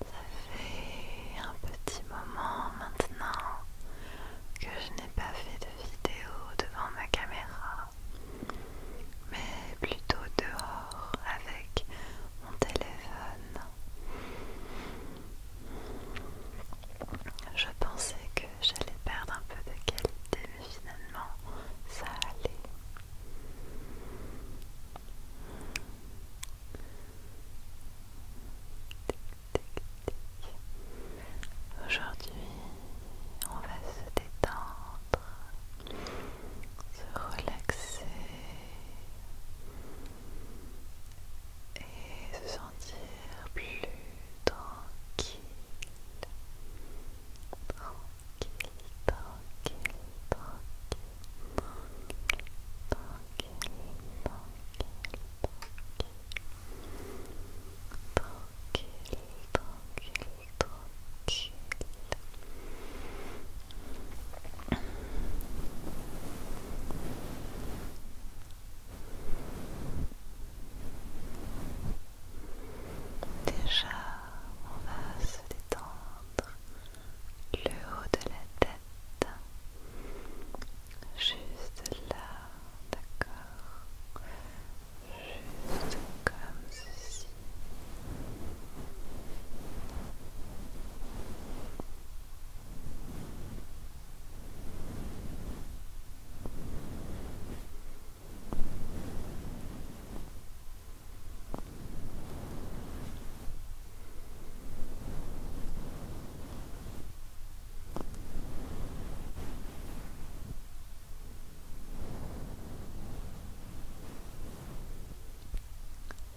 Ça fait un petit moment maintenant que je n'ai pas fait de vidéo devant ma caméra, mais plutôt dehors avec mon téléphone. Je pensais que j'allais perdre un peu de qualité, mais finalement ça allait. Aujourd'hui, on va se détendre, se relaxer et se sentir plus tranquille, tranquille, tranquille, tranquille, Déjà, on va se détendre le haut de la tête, juste là, d'accord, juste comme ceci.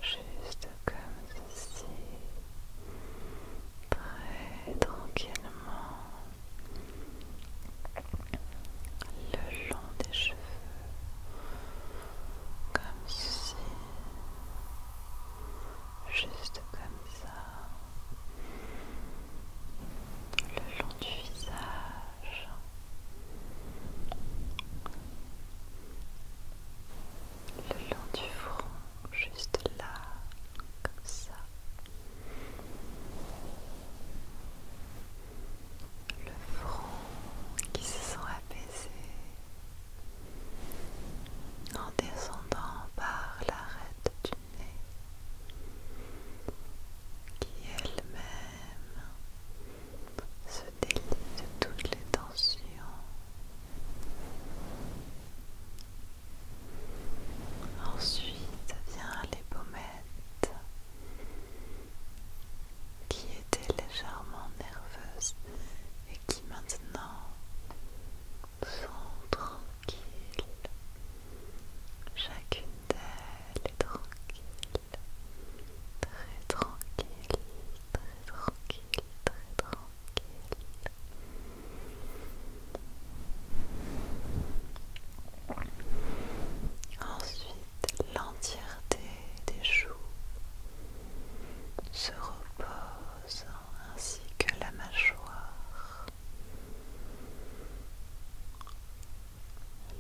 Juste comme ceci, très tranquillement le long des cheveux comme ci juste comme ça le long du visage le long du front juste là comme ça le front qui se sent apaisé en descendant par l'arête du nez qui elle-même se délivre de toutes les tensions. Ensuite vient les pommettes qui était légèrement nerveuse et qui maintenant sont tranquilles. Chacune d'elles est tranquille, très tranquille, très tranquille, très tranquille. Ensuite, l'entièreté des joues se repose ainsi que la mâchoire.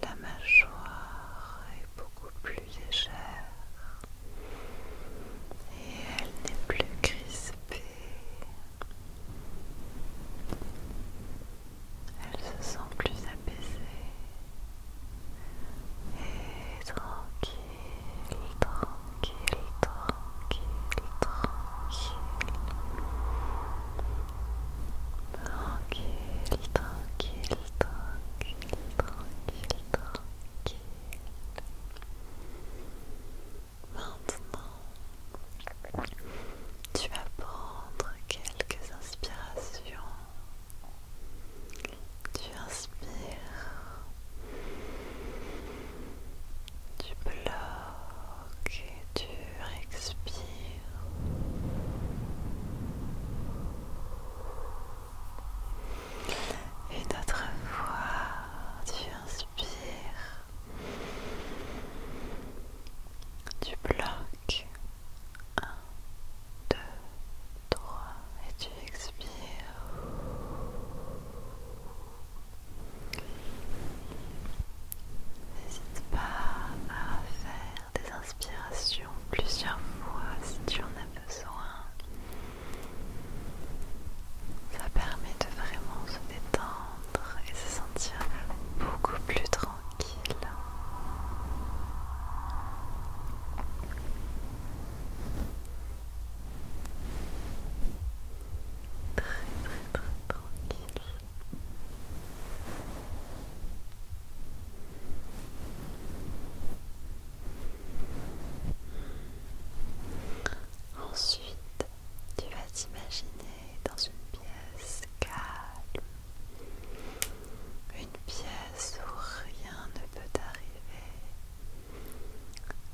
La mâchoire est beaucoup plus légère et elle n'est plus crispée. Elle se sent plus apaisée et tranquille, tranquille, tranquille, tranquille, tranquille, tranquille, tranquille, tranquille, tranquille. Maintenant, tu vas prendre quelques inspirations. Tu inspires, tu bloques et tu expires. Et d'autres fois, tu inspires tu bloques 1, 2, 3 et tu expires. N'hésite pas à faire des inspirations plusieurs fois si tu en as besoin. Ça permet de vraiment se détendre et se sentir beaucoup plus tranquille. Très très très tranquille. Ensuite, tu vas t'imaginer dans une pièce calme, une pièce où rien ne peut t'arriver.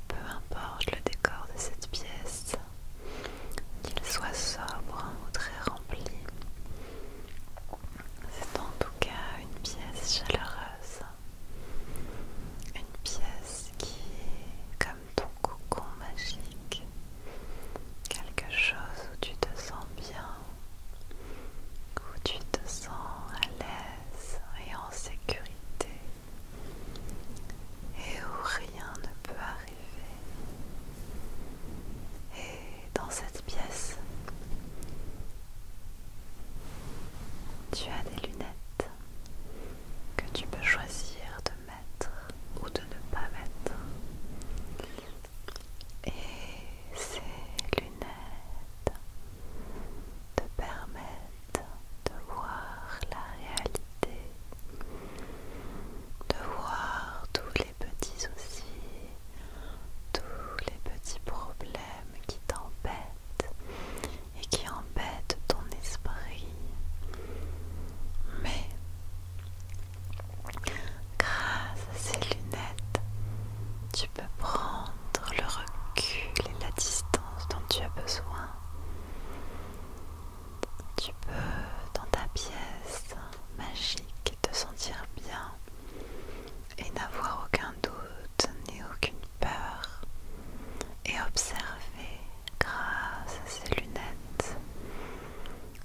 Peu importe le décor de cette pièce, qu'il soit sobre ou très rempli, c'est en tout cas une pièce chaleureuse une pièce qui est comme ton cocon magique, quelque chose où tu te sens bien, où tu te sens à l'aise et en sécurité, et où rien ne peut arriver. Et dans cette pièce, tu as des lunettes que tu peux choisir de mettre ou de ne pas mettre. Et ces lunettes te permettent de voir la réalité, de voir tous les petits soucis, tous les petits problèmes qui t'embête et qui embête ton esprit. Mais grâce à ces lunettes, tu peux prendre le recul et la distance dont tu as besoin. Tu peux, dans ta pièce magique, te sentir bien et n'avoir aucun doute Tenez aucune peur et observer grâce à ces lunettes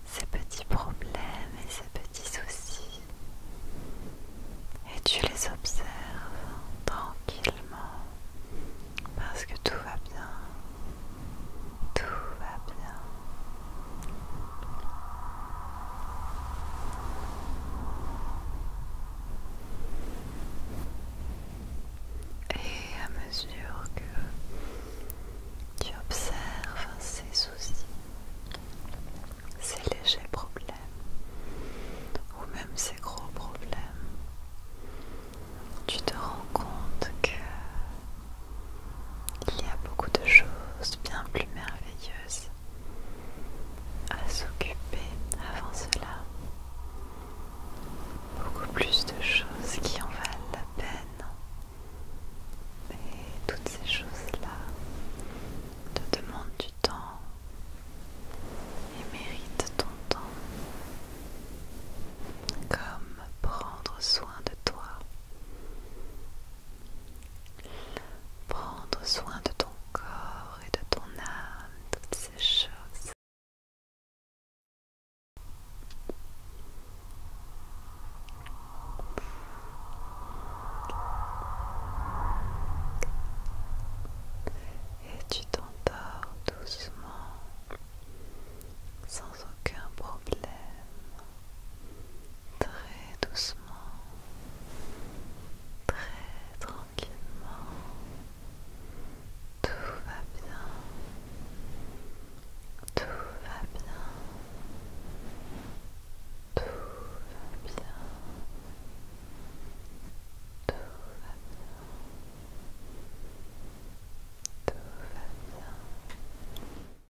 ces petits problèmes et ces petits soucis et tu les observes tranquillement parce que tout va bien tout va bien et à mesure que tu observes ces soucis, ces légers problèmes ou même ces gros problèmes, tu te rends compte que il y a beaucoup de choses bien plus merveilleuses à s'occuper avant cela. Beaucoup plus de choses qui en valent la peine. Et toutes ces choses-là te demandent du temps et méritent ton temps. Comme prendre soin de toi Prendre soin de ton corps et de ton âme, toutes ces choses. Et tu t'endors doucement, sans aucun problème très doucement, très tranquillement. Tout va bien, tout va bien, tout va bien, tout va bien, tout va bien.